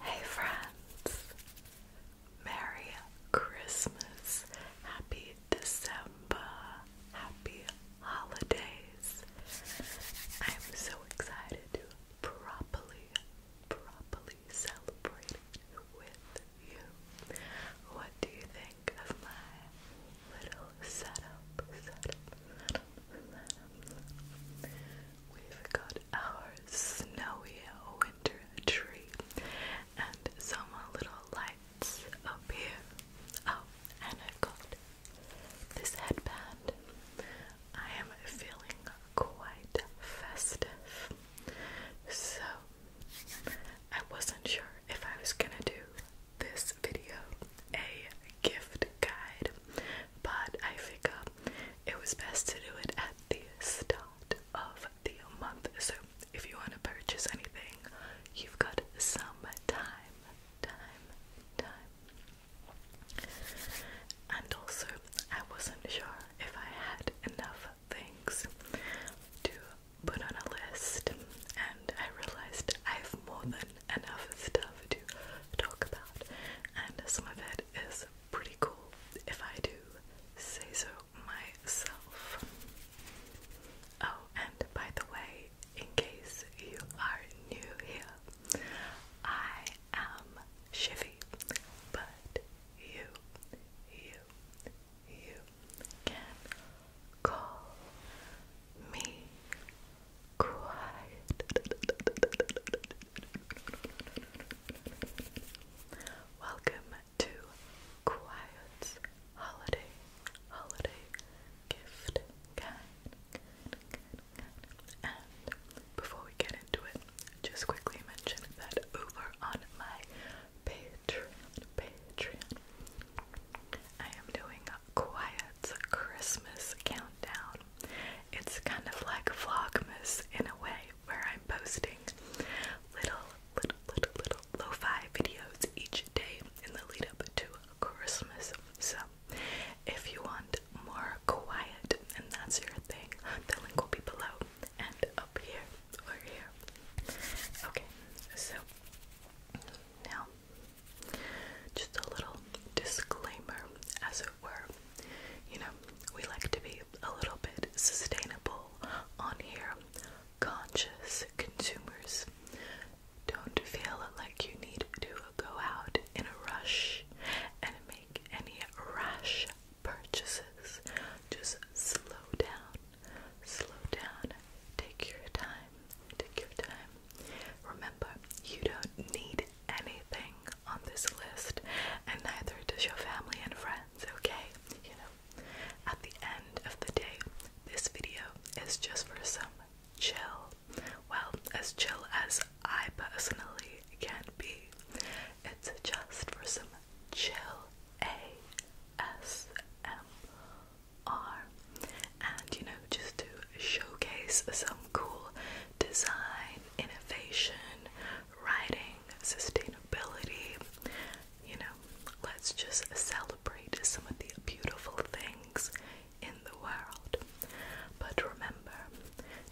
Hey friends, Merry Christmas, Happy December, Happy Holidays. I'm so excited to properly properly celebrated with you. What do you think of my little setup? We've got our snowy winter tree and some little lights up here. Oh, and i got this headband. I am feeling quite festive. So, I wasn't sure if I was gonna do this video a gift guide, but I figured it was best to do it at the start of the month. So, if you want to purchase anything, you've got some time, time. And also, I wasn't sure if I had enough things to put on a list, and I realized I have more than enough stuff to talk about, and some of it is pretty cool if I do say so myself. Oh, and by the way, in case you are new here, I am Shivy, but you, you, you can call me quiet. Welcome to Quiet's holiday, holiday gift guide. And before we get into it, just quickly mention that over on my Patreon, Patreon. I am doing a quiet Christmas countdown. It's kind of like Vlogmas in a way, where I'm posting little, little, little, little lo-fi videos each day in the lead up to Christmas. So, if you want more quiet and that's your thing, the link will be below and up here or here. Okay, so now just a little disclaimer, as it were. You know, we like to be a little bit sustainable on here, conscious consumers. Don't feel like you need to go out in a rush and make any rash purchases. Just slow down, slow down, take your time, take your time. Remember, you don't need anything on this list, and neither does your family and friends, okay? You know, at the end of the day, this video is just for some chill. Well, as chill as I personally can be. It's just for some chill ASMR and you know just to showcase some cool design, innovation, writing, sustainability, you know, let's just celebrate some of the beautiful things in the world. But remember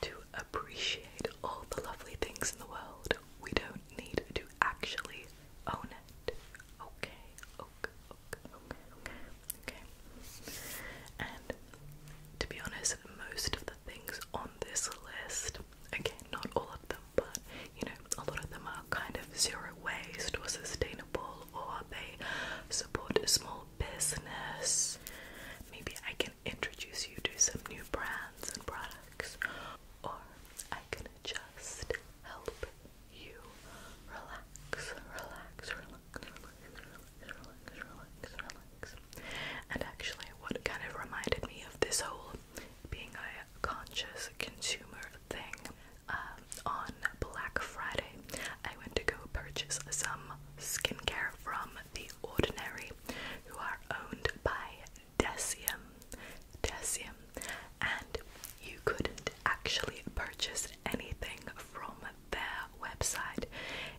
to appreciate all the lovely things in the world. We don't need to actually own it. Okay, okay, okay, okay, okay, okay. And to be honest, most of the things on this list, again, not all of them, but you know, a lot of them are kind of zero waste or sustainable, or they support a small business. Maybe I can introduce you to some new brands and products, or I can just help you relax, relax, relax, relax, relax, relax, relax. And actually, what kind of reminded me of this whole being a conscious consumer thing um, on Black Friday, I went to go purchase some skincare from The Ordinary, who are owned by Decium, Decium, and you couldn't actually purchase anything from their website.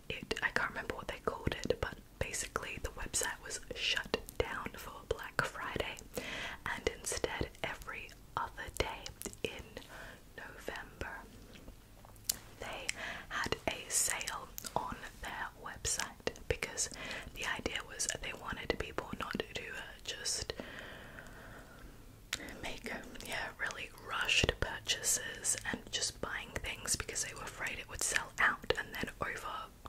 It I can't remember what they called it, but basically the website was shut down for Black Friday, and instead every other day in November they had a sale on their website because the idea was they wanted people not to uh, just make um, yeah really rushed purchases and just buying things because they were afraid it would sell out and then over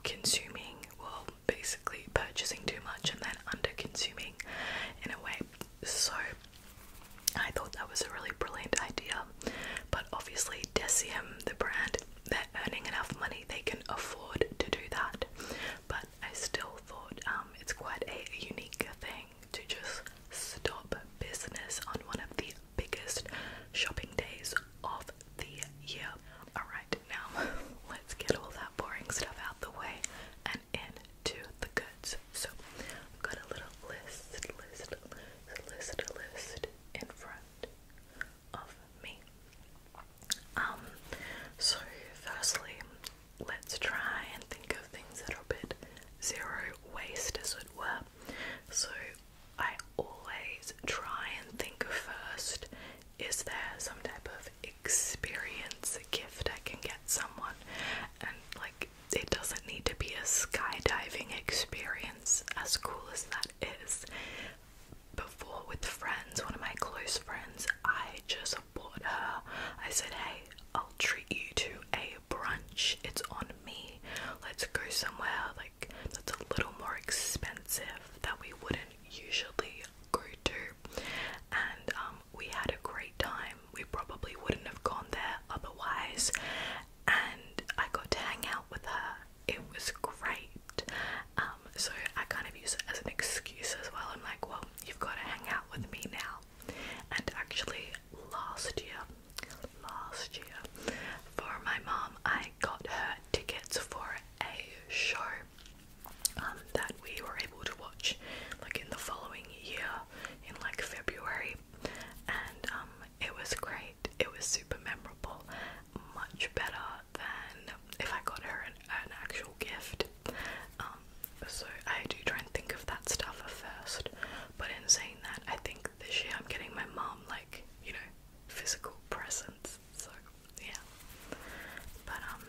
consuming well basically purchasing too much and then under consuming in a way so I thought that was a really brilliant idea but obviously Deciem the brand they're earning enough money they can afford to do that. But I still thought um, it's quite a unique thing to just stop business on one of the biggest shopping days of the year. Alright, now let's get all that boring stuff out the way and into the goods. So I've got a little list, list, list, list, list in front of me. Um, so firstly, let's try and think of things that are a bit zero waste, as it were. So I always try and think of first is there some type of experience gift I can get someone? And like, it doesn't need to be a skydiving experience, as cool as that is before with friends, one of my close friends, I just bought her. I said, Hey, I'll treat you to a brunch. It's on me. Let's go somewhere like that's a little more expensive that we wouldn't usually go to. And um, we had a great time. We probably wouldn't have gone there otherwise. And I got to hang out with her it was great. Um, so I kind of use it as an excuse as well. I'm like, well, you've got to hang out with me now. And actually, last year, last year, for my mom, I got her tickets for a show um, that we were able to watch like in the following year, in like February, and um, it was great. It was super memorable, much better than if I got her an, actual gift. Um, so I do try and think of that stuff first. But in saying that, I think this year I'm getting my mom like you know physical presents. So yeah, but um,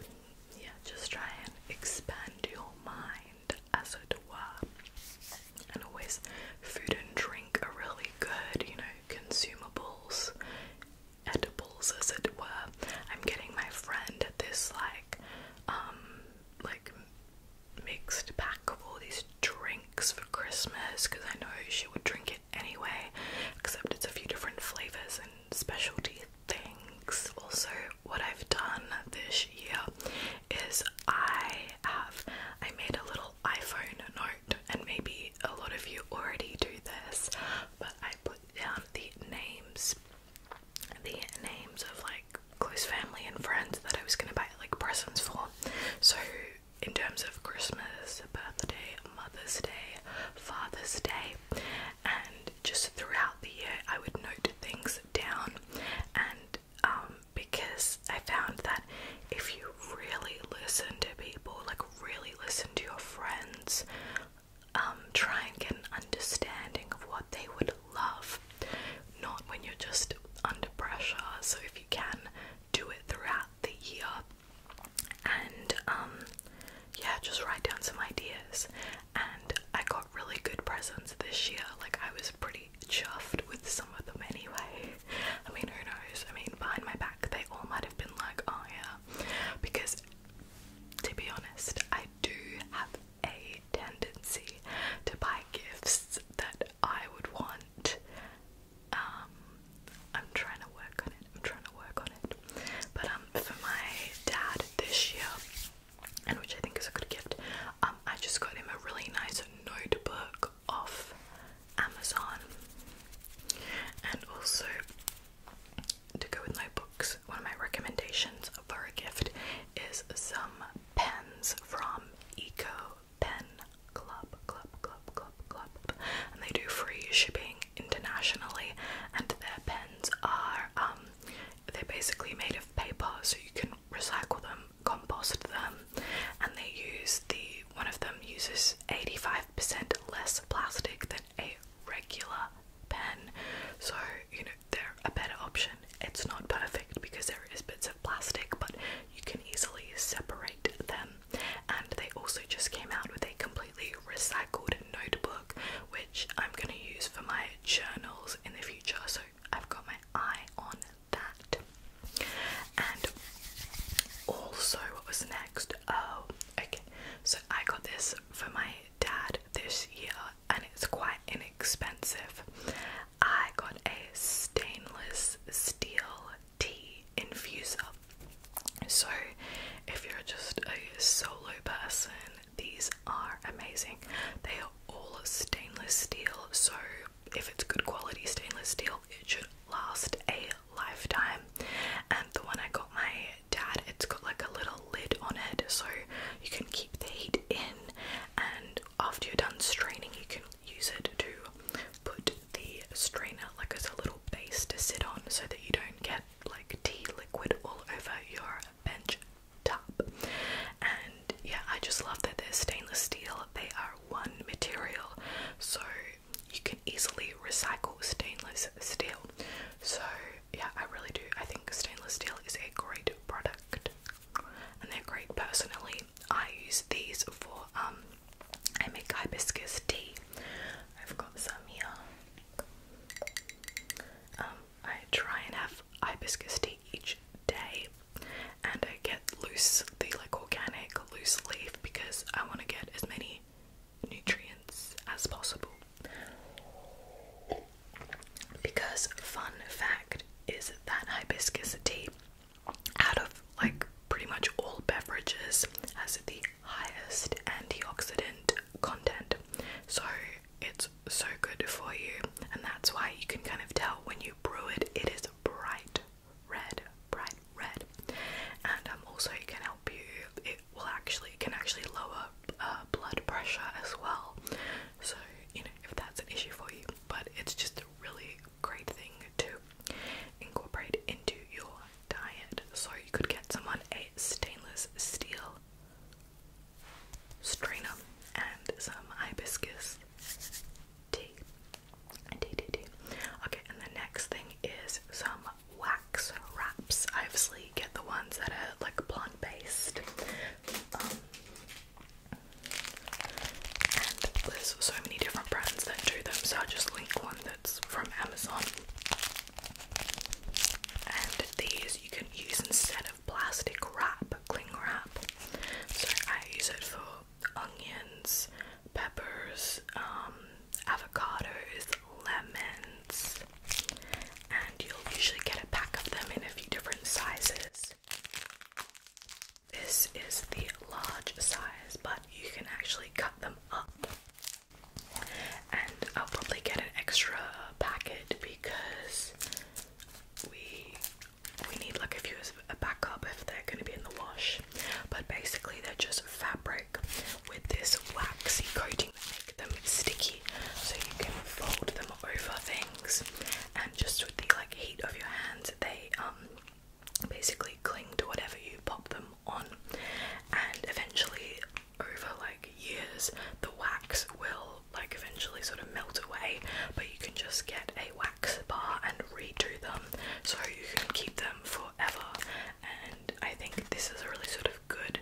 yeah, just try and expand your mind, as it were. And always, food and drink are really good. You know, consumables edibles as it were. I'm getting my friend this like um like mixed pack of all these drinks for Christmas because I know she would drink it anyway, except it's a few different flavors and specialty things. Also, what I've done this year is I have I made a little iPhone note and maybe a lot of you already do this, but I put down the names, the names of like close family and friends that I was gonna buy like presents for. So in terms of Christmas, birthday, Mother's Day, Father's Day, and just throughout the year, I would note things down, and um, because I found that if you really listen to people, like really listen to your friends um try and get an understanding of what they would love not when you're just under pressure so if you can do it throughout the year and um, yeah just write down some ideas and I got really good presents this year like I was pretty chuffed with some of them anyway I mean who knows I mean behind my back they all might have been like, oh yeah. Because to be honest, I do have a tendency to buy gifts that I would want. Um, I'm trying to work on it, I'm trying to work on it. But um, for my dad this year, and which I think is a good gift, um, I just got him a really nice notebook off Amazon. And also, to go with my books, one of my recommendations for a gift is some pens from Eco Pen Club, Club, Club, Club, Club. And they do free shipping internationally, and their pens are, um, they're basically made of paper, so you can recycle them, compost them, and they use the one of them uses 85% less plastic than a regular pen. So, you know, they're a better option. It's not perfect because there is bits of plastic, but you can easily separate them. And they also just came out with a completely recycled notebook, which I'm going to use for my journals in the future. So, I've got my eye on that. And also, what was next? Oh, okay. So, I got this for my dad this year and it's quite inexpensive. I got a stainless steel tea infuser. So, if you're just a solo person, these are amazing. They are all stainless steel, so if it's good quality stainless steel, it should last a lifetime. And the one I got my dad, it's got like a little lid on it so you can keep the heat in, and after you're done straining, you can use it to put the strainer like as a little base to sit on so that you don't get like tea liquid all over your bench top. And yeah, I just love that they're stainless steel, they are one material, so you can easily recycle stainless steel, so yeah, I really do. I think stainless steel is a great product, and they're great. Personally, I use these for um, I make hibiscus tea. I've got some here. Um, I try and have hibiscus tea each day, and I get loose the like organic loose leaf because I want to get as many nutrients as possible. Because, fun fact, is that hibiscus tea out of like pretty much all beverages has the highest antioxidant content. So it's so good for you, and that's why you can kind of tell when you brew it, it is bright red, bright red. And um, also, it can help you, will actually can actually lower uh, blood pressure as well. So you know if that's an issue for you, but it's just a really great thing to incorporate into your diet. So you could get someone a stainless steel strainer and some hibiscus tea. Okay, and the next thing is some wax wraps. I obviously get the ones that are like plant based. Um, and there's so many different brands that do them, so I'll just link one that's from Amazon. And these you can use instead of plastic wrap, cling wrap. So I use it for onions, peppers, um, avocados, lemons, and you'll usually get a pack of them in a few different sizes. This is the large size, but you can actually cut them up. And I'll probably get an extra packet because we we need like a few as a backup if they're going to be in the wash. But basically, they're just fabric with this waxy coating that makes them sticky so you can fold them over things and just with the like heat of your hands they um basically cling to whatever you pop them on and eventually over like years the wax will like eventually sort of melt away but you can just get a wax bar and redo them so you can keep them forever and I think this is a really sort of good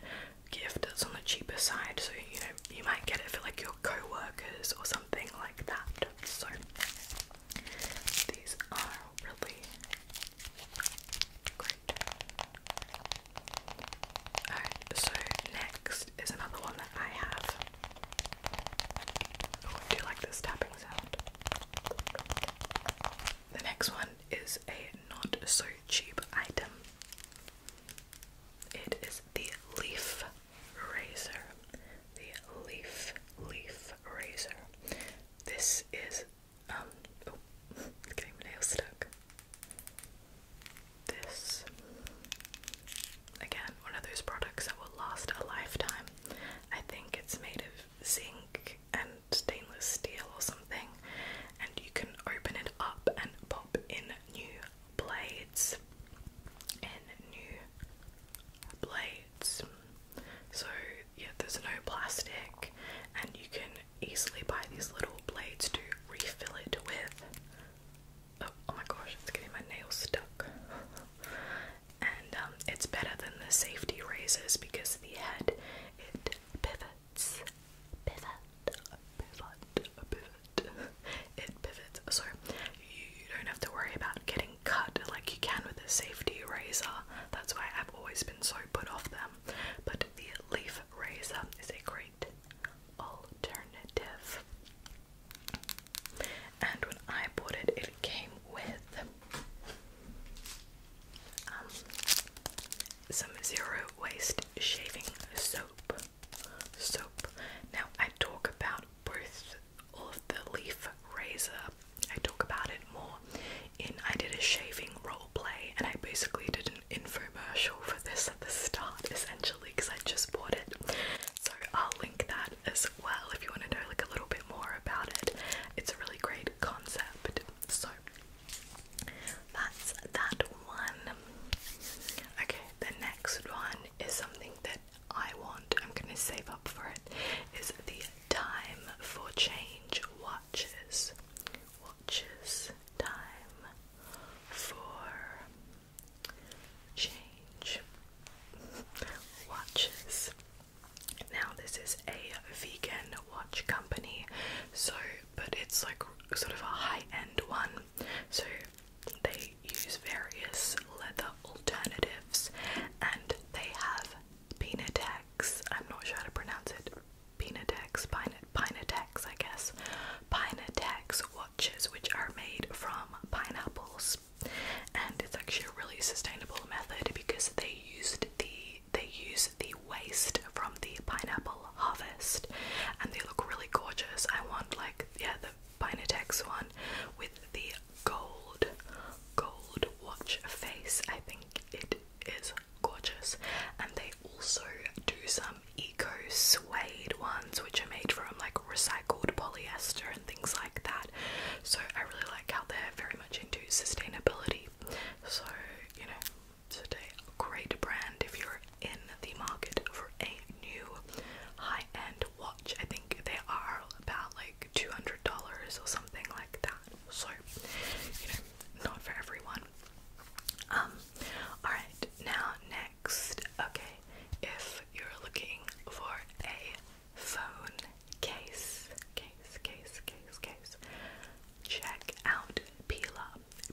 gift that's on the cheaper side, so you know you might get it for like your coworkers or something like that. So these are really great. Alright, so next is another one that I have. Oh, do you like this tapping sound. The next one is a not so cheap item. It is the leaf razor. The leaf leaf razor. This is um oh getting my nail stuck. This again one of those products that will last a lifetime. I think it's made of zinc and stainless steel or something, and you can open it up and pop in new blades. In new blades. So, yeah, there's no plastic, and you can easily buy these little blades to refill it with. Oh, oh my gosh, it's getting my nails stuck. and um, it's better than the safety razors because the head it pivots. It pivots, Sorry, you don't have to worry about getting cut like you can with a safety razor. That's why I've always been so put off them. But the leaf razor is a great alternative. And when I bought it, it came with um, some zero waste shaving soap. Soap. Now I talk about both all of the leaf razor. I talk about it more in I did a shaving role play and I basically did an infomercial for this at the start essentially because I just bought it. So I'll link that as well if you want to know like a little bit more about it. It's a really great concept. So that's that one. Okay, the next one is something that I want. I'm gonna save up for it. Is the time for change watches? Watches time for change watches. Now this is a vegan watch company, so but it's like sort of a high end one. So they use various leather alternatives and they have Pinatex. I'm not sure how to pronounce it. Pinatex, Pin Pinatex, I guess. Pinatex watches, which are made from pineapples, and it's actually a really sustainable method because they used the they use the waste from the pineapple harvest and they look really gorgeous. I want like yeah the Pinatex one with the gold gold watch face. I think it is gorgeous. And they also do some eco suede ones which are made from like recycled polyester and things like that. So I really like how they're very much into sustainability. So, you know, today. great brand if you're in the market for a new high-end watch. I think they are about like two hundred dollars or something like that. So not for everyone. Um, alright, now next, okay, if you're looking for a phone case, case, case, case, case, Check out Pila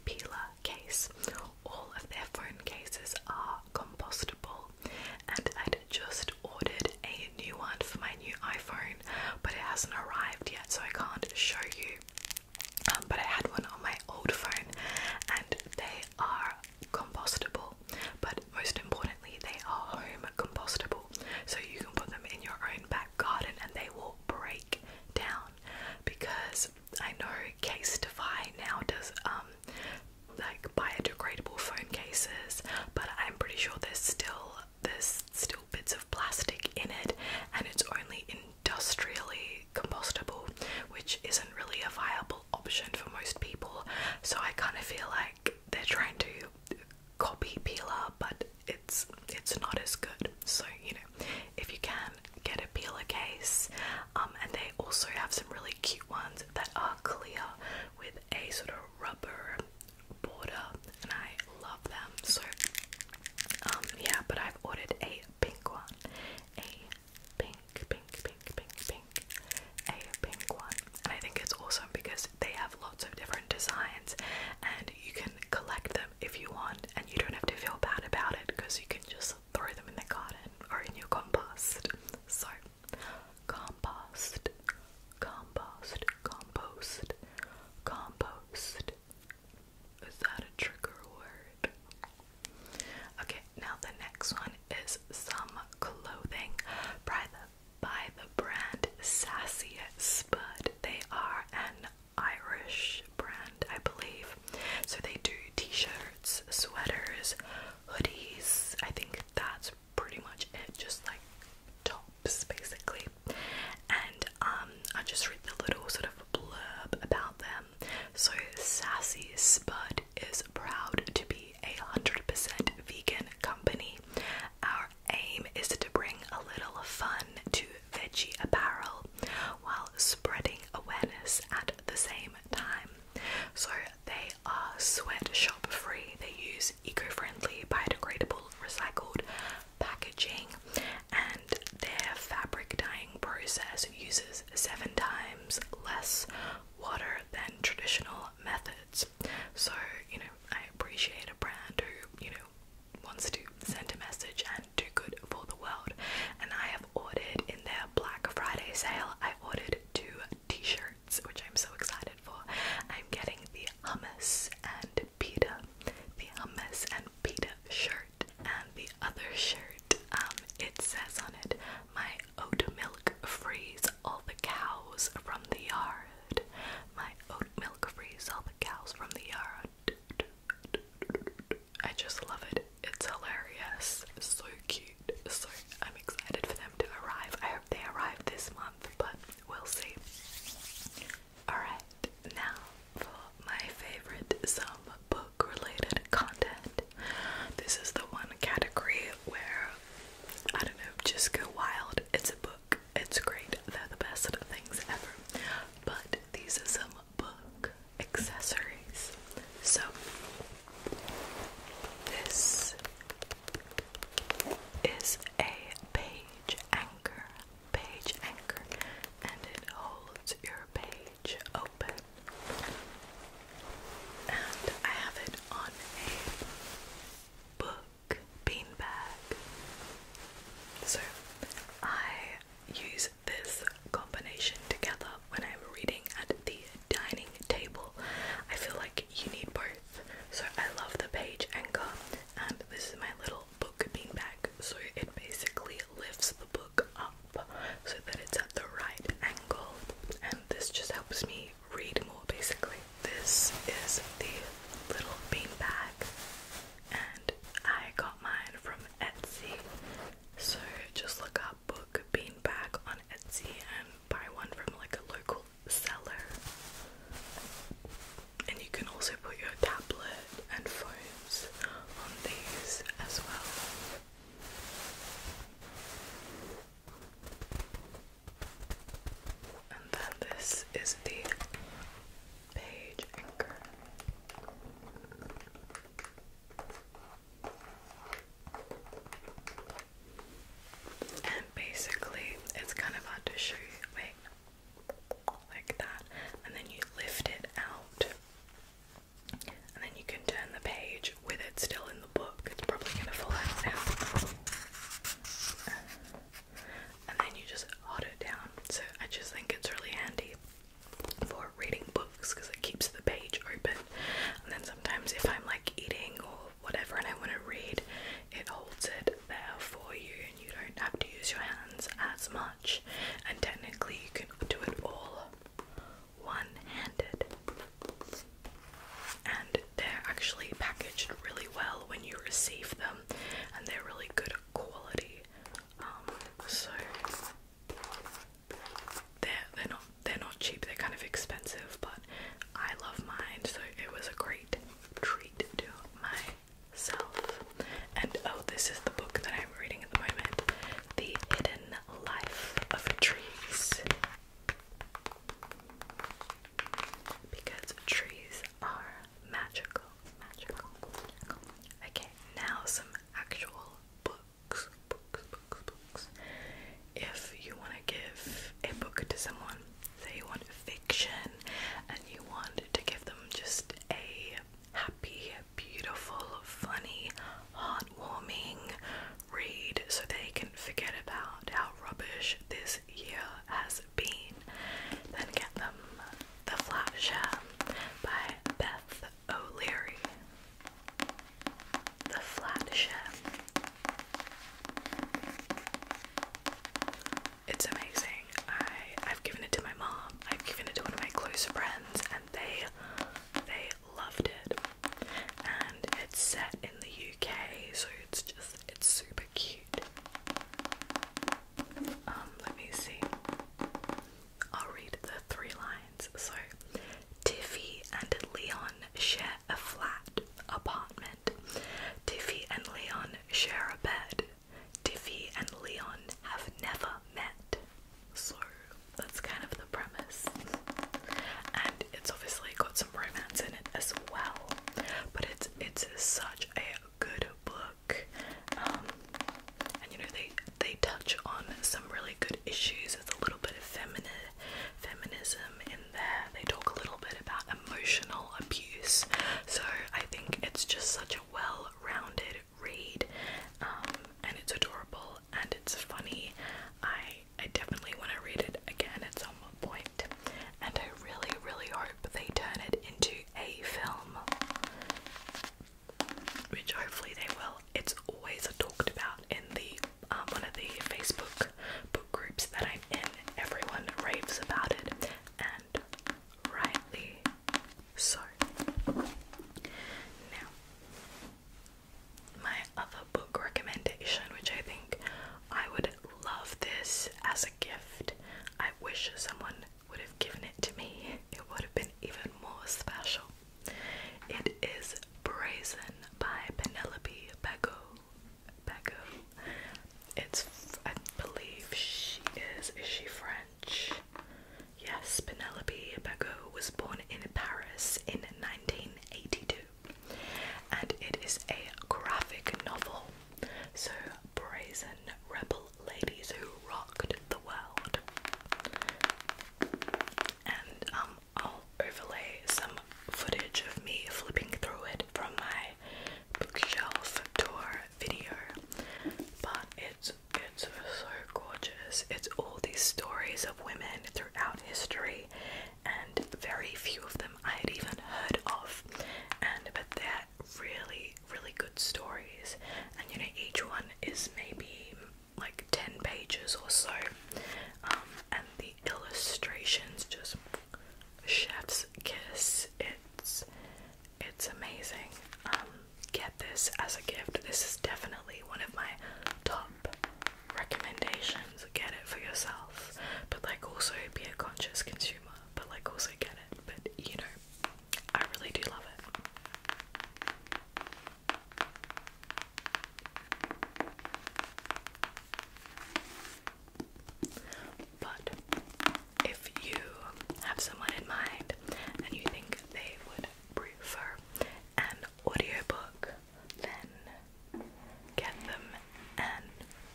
Pila Case. All of their phone cases are compostable, and i just ordered a new one for my new iPhone, but it hasn't arrived yet, so I can't show you. Um, but I had one on my old phone, and they are compostable, but most importantly, they are home compostable, so you can put them in your own back garden and they will break down because I know Case now does um like biodegradable phone cases, but I'm pretty sure there's still there's still bits of plastic in it, and it's only industrially compostable, which isn't really a viable option for most people. So I kind of feel like they're trying to copy Pila, but it's not as good. So you know, if you can get a peeler case, um, and they also have some really cute ones that are clear with a sort of rubber border, and I love them. So um, yeah, but I've ordered a pink one, a pink, pink, pink, pink, pink, a pink one, and I think it's awesome because they have lots of different designs, and you can collect them if you want and you don't have to feel bad about it because you can just throw them in the garden or in your compost. So, compost, compost, compost, compost. Is that a trigger word? Okay, now the next one is some clothing by the by the brand Sassy Spud. They are an Irish brand, I believe. So they do t-shirts, sweaters, hoodies. I think that's pretty much it, just like tops basically. And um, I just read the little sort of blurb about them. So Sassy Spud is proud to be a hundred percent vegan company. Our aim is to bring a little fun to veggie apparel while spreading awareness at the same time. So they are sweatshop free, they use eco friendly, biodegradable, recycled packaging, and their fabric dyeing process uses seven times less water than traditional methods. So, you know, I appreciate a brand who, you know, wants to send a message and do good for the world. And I have ordered in their Black Friday sale, I ordered two t-shirts, which I'm so excited for. I'm getting the hummus and pita, the hummus and pita shirt, and the other shirt, um, it says on it, my oat milk frees all the cows from the yard. My oat milk frees all the cows from the yard. I just love it. It's hilarious. So cute. So I'm excited for them to arrive. I hope they arrive this month, but we'll see. Alright, now for my favorite some book related content. This is the one category where I don't know, just go wild. It's a book. It's great. They're the best things ever. But these are some book accessories. So this is a page anchor, page anchor, and it holds your page open. And I have it on a book beanbag. So I use this combination together when I'm reading at the dining table. I feel like you need both. So I love the page anchor, and this is my little book bean bag. So it basically lifts the book up so that it's at the right angle, and this just helps me read more basically. This is the little bean bag, and I got mine from Etsy. So just look up book beanbag on Etsy and buy one from like a local seller. And you can also put your tablet and phones on these as well. And then this is the Page Anchor. And basically, it's kind of hard to show you. Wait, like that. And then you lift it out. And then you can turn the page with it still in the book. It's probably going to fall out now. And then you just hold it down. So I just think it's really handy for reading books because it keeps the page open. And then sometimes if I'm like eating or whatever and I want to read, it holds it there for you and you don't have to use your hands as much. And technically, you can do it all one handed. And they're actually packaged really well when you receive them, and they're really good quality. Um, so they're they're not they're not cheap. They're kind of expensive, but I love mine, so it was a great treat to myself. And oh, this is the book that I'm reading at the moment, The Hidden Life of Trees. Because trees are magical, magical, magical. Okay, now some actual books, books, books, books. If you want to give a book to someone, say you want fiction and you want to give them just a happy, beautiful, funny, heartwarming read so they can forget about how rubbish this year has been, then get them The Flat Share um, by Beth O'Leary, the Flatshare. It's amazing. I I've given it to my mom. I've given it to one of my close friends, and they they loved it. And it's set in the UK, so it's just it's super cute. Um, let me see. I'll read the three lines. So, Tiffy and Leon share a flat apartment. Tiffy and Leon share a bed. Tiffy and Leon have never met. So, that's kind of the premise. And it's obviously got some romance in it as well. But it's it's such a good book. Um, and you know they they touch on some really good issues. There's a little bit of feminine feminism in there. They talk a little bit about emotional abuse. So I think it's just such a well-rounded read, um, and it's adorable and it's funny. I I definitely want to read it again at some point, and I really really hope they turn it into a film which hopefully they will. It's always talked about in the um, one of the Facebook book groups that I'm in. Everyone raves about it, and rightly so. Now, my other book recommendation, which I think I would love this as a gift. I wish someone would have given it to me, it would have been even more special. It is Brazen by Penelope Bego. Bego. It's, I believe, she is. Is she French? Yes, Penelope Bego was born in Paris in 1982, and it is a graphic novel. So, Brazen Rebel ladies who rocked the world. And um, I'll overlay some footage of me flipping through it from my bookshelf tour video. But it's it's so gorgeous. It's all these stories of women throughout history, and very few of them I had even heard of. And but they're really, really good stories. And you know, each one is maybe like 10 pages or so, um, and the illustrations just chef's kiss. It's it's amazing. Um, get this as a gift. This is definitely one of my top recommendations. Get it for yourself, but like also be a conscious consumer. But like also get it. But you know, I really do love it. But if you have someone in mind and you think they would prefer an audiobook, then get them an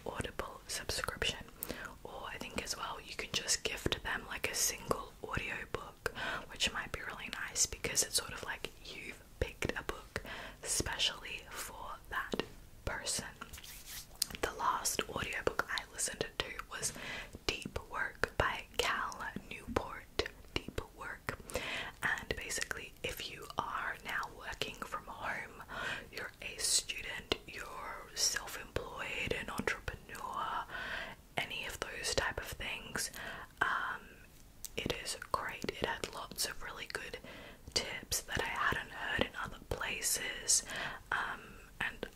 Audible subscription. Or I think as well, you can just gift them like a single Audio book, which might be really nice because it's sort of like you've picked a book specially for that person. The last audio book I listened to was Deep Work by Cal Newport. Deep Work. And basically, if you are now working from home, you're a student, you're self employed, an entrepreneur, any of those type of things. Um, it is great. It had lots of really good tips that I hadn't heard in other places. Um, and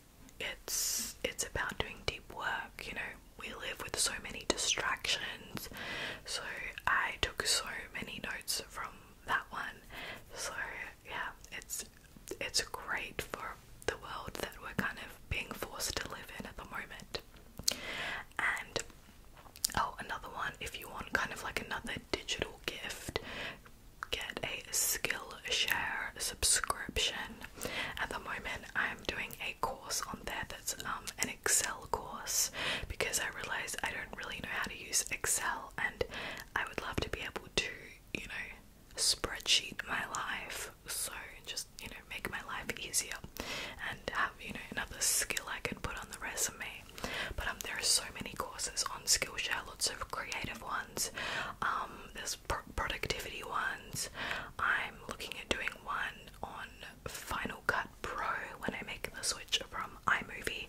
it's it's about doing deep work. You know, we live with so many distractions. So I took so many notes from that one. So yeah, it's it's great for the world that we're kind of being forced to live in at the moment. And oh, another one if you want kind of like another digital gift, get a Skillshare subscription. At the moment, I'm doing a course on there that's um, an Excel course because I realise I don't really know how to use Excel and I would love to be able to, you know, spreadsheet my life life so just you know make my life easier and have you know another skill I can put on the resume but um there are so many courses on Skillshare lots of creative ones um there's productivity ones I'm looking at doing one on Final Cut Pro when I make the switch from iMovie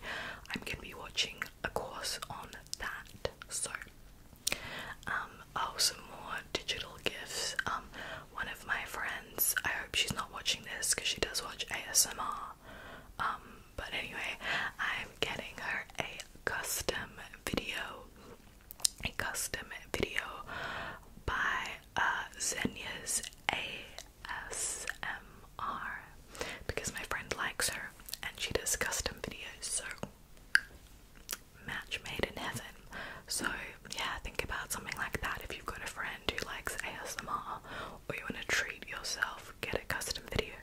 I'm gonna be watching a course on that so um, um, oh some more digital gifts um one of my friends i hope she's not watching this because she does watch asmr um but anyway i'm getting her a custom video a custom video by uh zenya's asmr because my friend likes her and she does custom videos so match made in heaven. So yeah, think about something like that. If you've got a friend who likes ASMR or you want to treat yourself, get a custom video.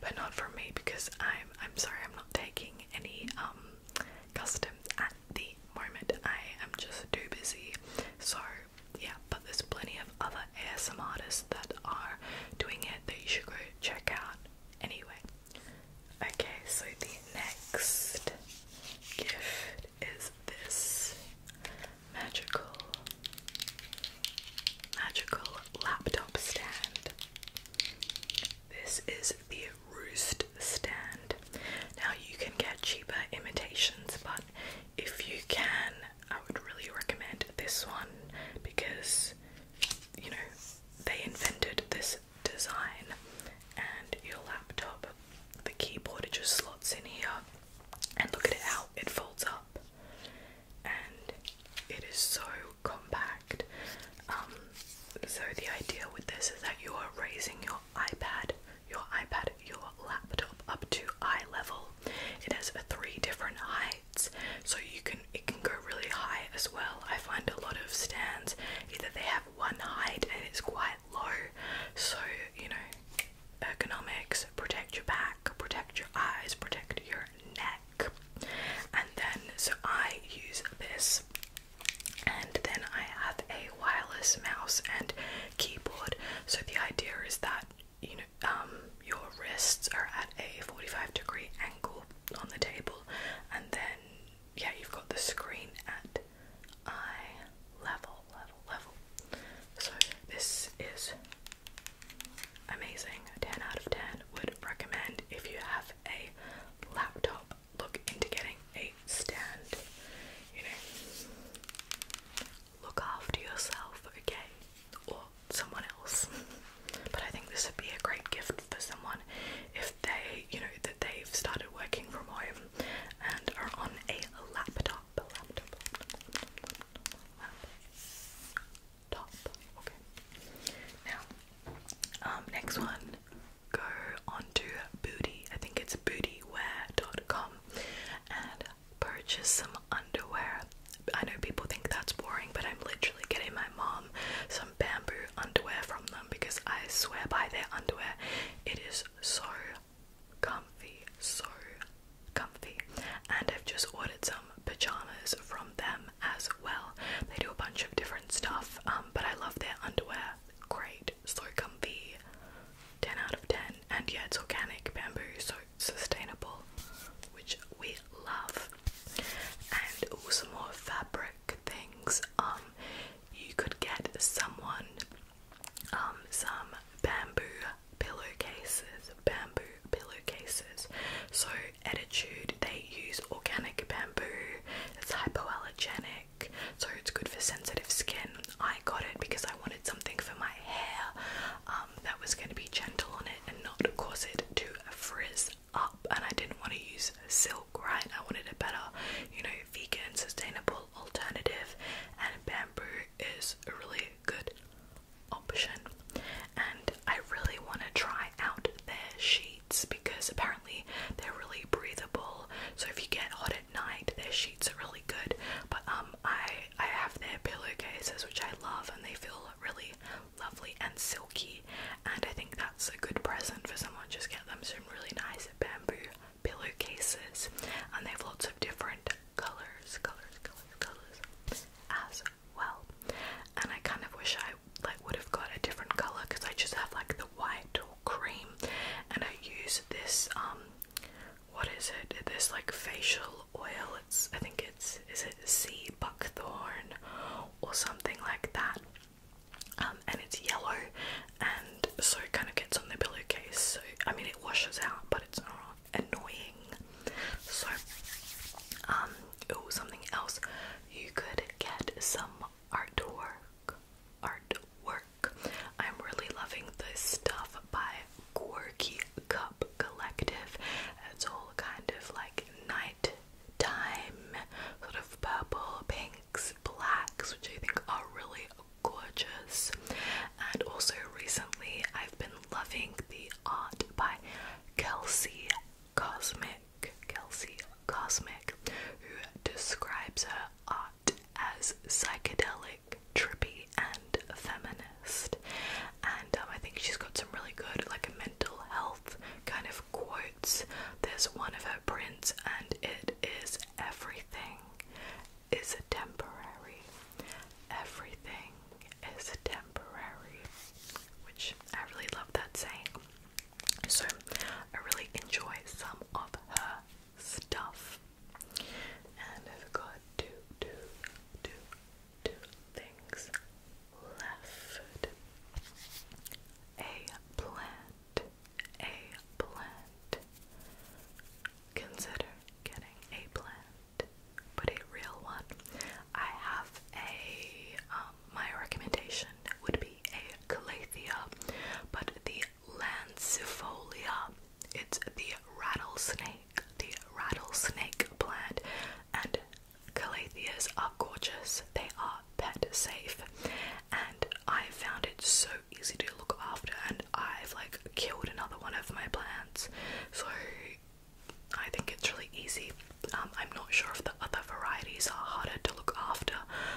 But not for me because I'm I'm sorry I'm not taking any um custom at the moment. I am just too busy. So yeah, but there's plenty of other ASMR artists that are doing it that you should go check out anyway. Okay, so the next gift is this magical, magical laptop stand. This is the Roost stand. Now, you can get cheaper imitations, but if you can, I would really recommend this one because you know they invented this design and your laptop. The keyboard it just slots in here and look at it how it folds up and it is so compact. Um, so the idea with this is that you are raising your iPad, your iPad, your laptop up to eye level. It has three different heights, so you can it can go really high as well. I find a lot of stands either they have one height and it's quite low, so you know, ergonomics protect your back, protect your eyes, protect your neck. And then, so I use this, and then I have a wireless mouse and keyboard. So the idea is that you know, um, your wrists are at a 45 degree angle on the table, and then yeah, you've got the screen at eye level, level, level. So this is amazing. 10 out of 10 would recommend if you have a laptop, look into getting a stand. You know, look after yourself, okay? Or someone else. But I think this would be a great gift for someone if they, you know, that they've started working from home and are on a laptop, laptop, Now, um, next one, go onto Booty. I think it's bootywear.com and purchase some underwear. I know people think that's boring, but I'm literally getting my mom some bamboo underwear from them because I swear by their underwear it is so comfy, so comfy. And I've just ordered some pajamas from them as well. They do a bunch of different stuff, um, but I love their underwear. Great, so comfy. 10 out of 10. And yeah, it's organic bamboo, so sustainable, which we love. And also more fabric things. Um, you could get someone um, some bamboo pillowcases, bamboo pillowcases. So Attitude, they use organic bamboo. It's hypoallergenic, so it's good for sensitive skin. I got it because I wanted something for my hair um, that was going to be gentle on it and not cause it to frizz up, and I didn't want to use silk, right? I wanted a better, you know, vegan, sustainable alternative, and bamboo is a really good option. And I really want to try out their sheets because apparently they're really breathable. So if you get hot at night, their sheets are really good. But um, I I have their pillowcases which I love, and they feel really lovely and silky. And I think that's a good present for someone. Just get them some really nice bamboo pillowcases, and they have lots of different colours, colours, colours, colours as well. And I kind of wish I like would have got a different colour because I just have like the white or cream, and I use this um, what is it? This like facial oil. It's I think it's is it sea buckthorn or something like that. Um, and it's yellow and so it kind of gets on the pillowcase so I mean it washes out but it's not annoying so um something else you could get some artwork artwork I'm really loving this stuff by Quirky Cup Collective it's all kind of like night sort of purple pink blacks, which I think are really gorgeous. And also, recently, I've been loving the art by Kelsey Cosmic. Kelsey Cosmic, who describes her art as psychedelic, trippy, and feminist. And um, I think she's got some really good, like, mental health kind of quotes. There's one of her prints, and it is everything is temporary. Everything is temporary. Which I really love that saying. So I really enjoy some of her stuff. And I've got to do things left. A plant a plant. Consider getting a plant, but a real one. I have a, um, my recommendation would be a calatheia, but the Lancifolia. It's the rattlesnake, the rattlesnake plant, and Calatheas are gorgeous. They are pet safe, and I found it so easy to look after and I've like killed another one of my plants. So I think it's really easy. Um, I'm not sure if the other varieties are harder to look after,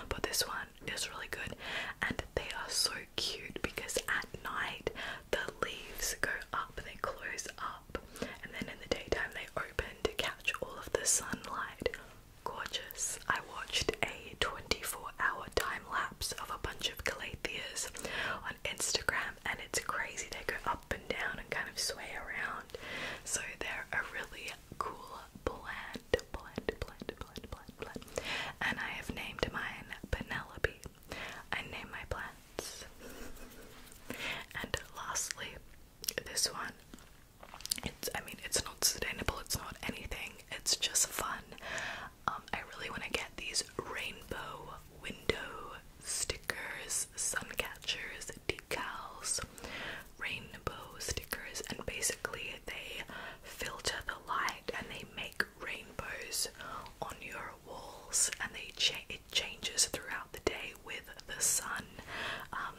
but this one is really good. And they are so cute because at night the leaves go up, they close up, and then in the daytime they open to catch all of the sunlight gorgeous. I watched a 24 hour time lapse of a bunch of calatheas on Instagram, and it's crazy. They go up and down and kind of sway around, so they're a really cool blend. Blend, blend, blend, blend, blend. And I have named mine Penelope. I name my plants. and lastly, this one. It's, I mean, it's not sustainable, it's not anything, it's just fun. Um, I really want to get these rainbow window stickers, sun catchers, decals, rainbow stickers, and basically they filter the light and they make rainbows on your walls, and they it changes throughout the day with the sun. Um,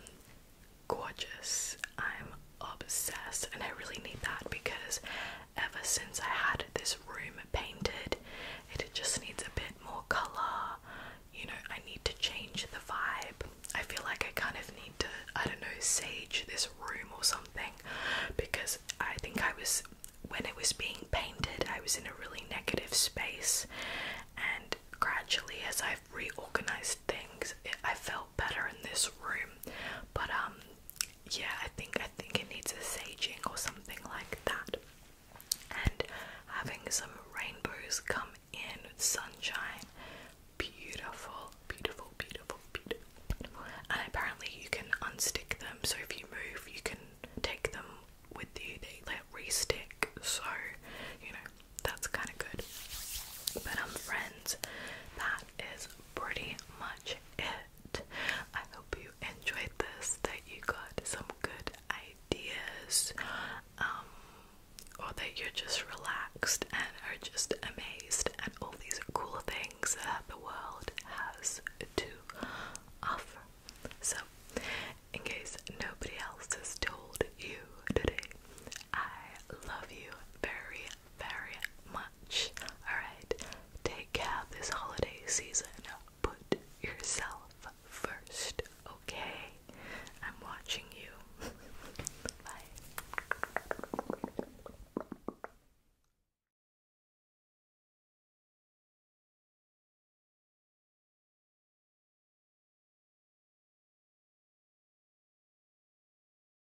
gorgeous I'm obsessed and I really need that because ever since I had this room painted, it just needs a bit more colour. You know, I need to change the vibe. I feel like I kind of need to, I don't know, sage this room or something because I think I was, when it was being painted, I was in a really negative space and gradually as I've reorganized things, I felt better in this room. But um, yeah, I think I think it needs a saging or something like that. And having some rainbows come in with sunshine, beautiful, beautiful, beautiful, beautiful. And apparently you can unstick them, so if you move, you can take them with you. They like restick, so you know that's kind of good. But um, friends, that is pretty much it. I hope you enjoyed this, that you got some good ideas, um, or that you're just relaxed and are just amazed at all these cool things that the world has to offer. So, in case nobody else has told you today, I love you very very much. Alright, take care this holiday season. Put yourself first, okay? I'm watching you. Bye.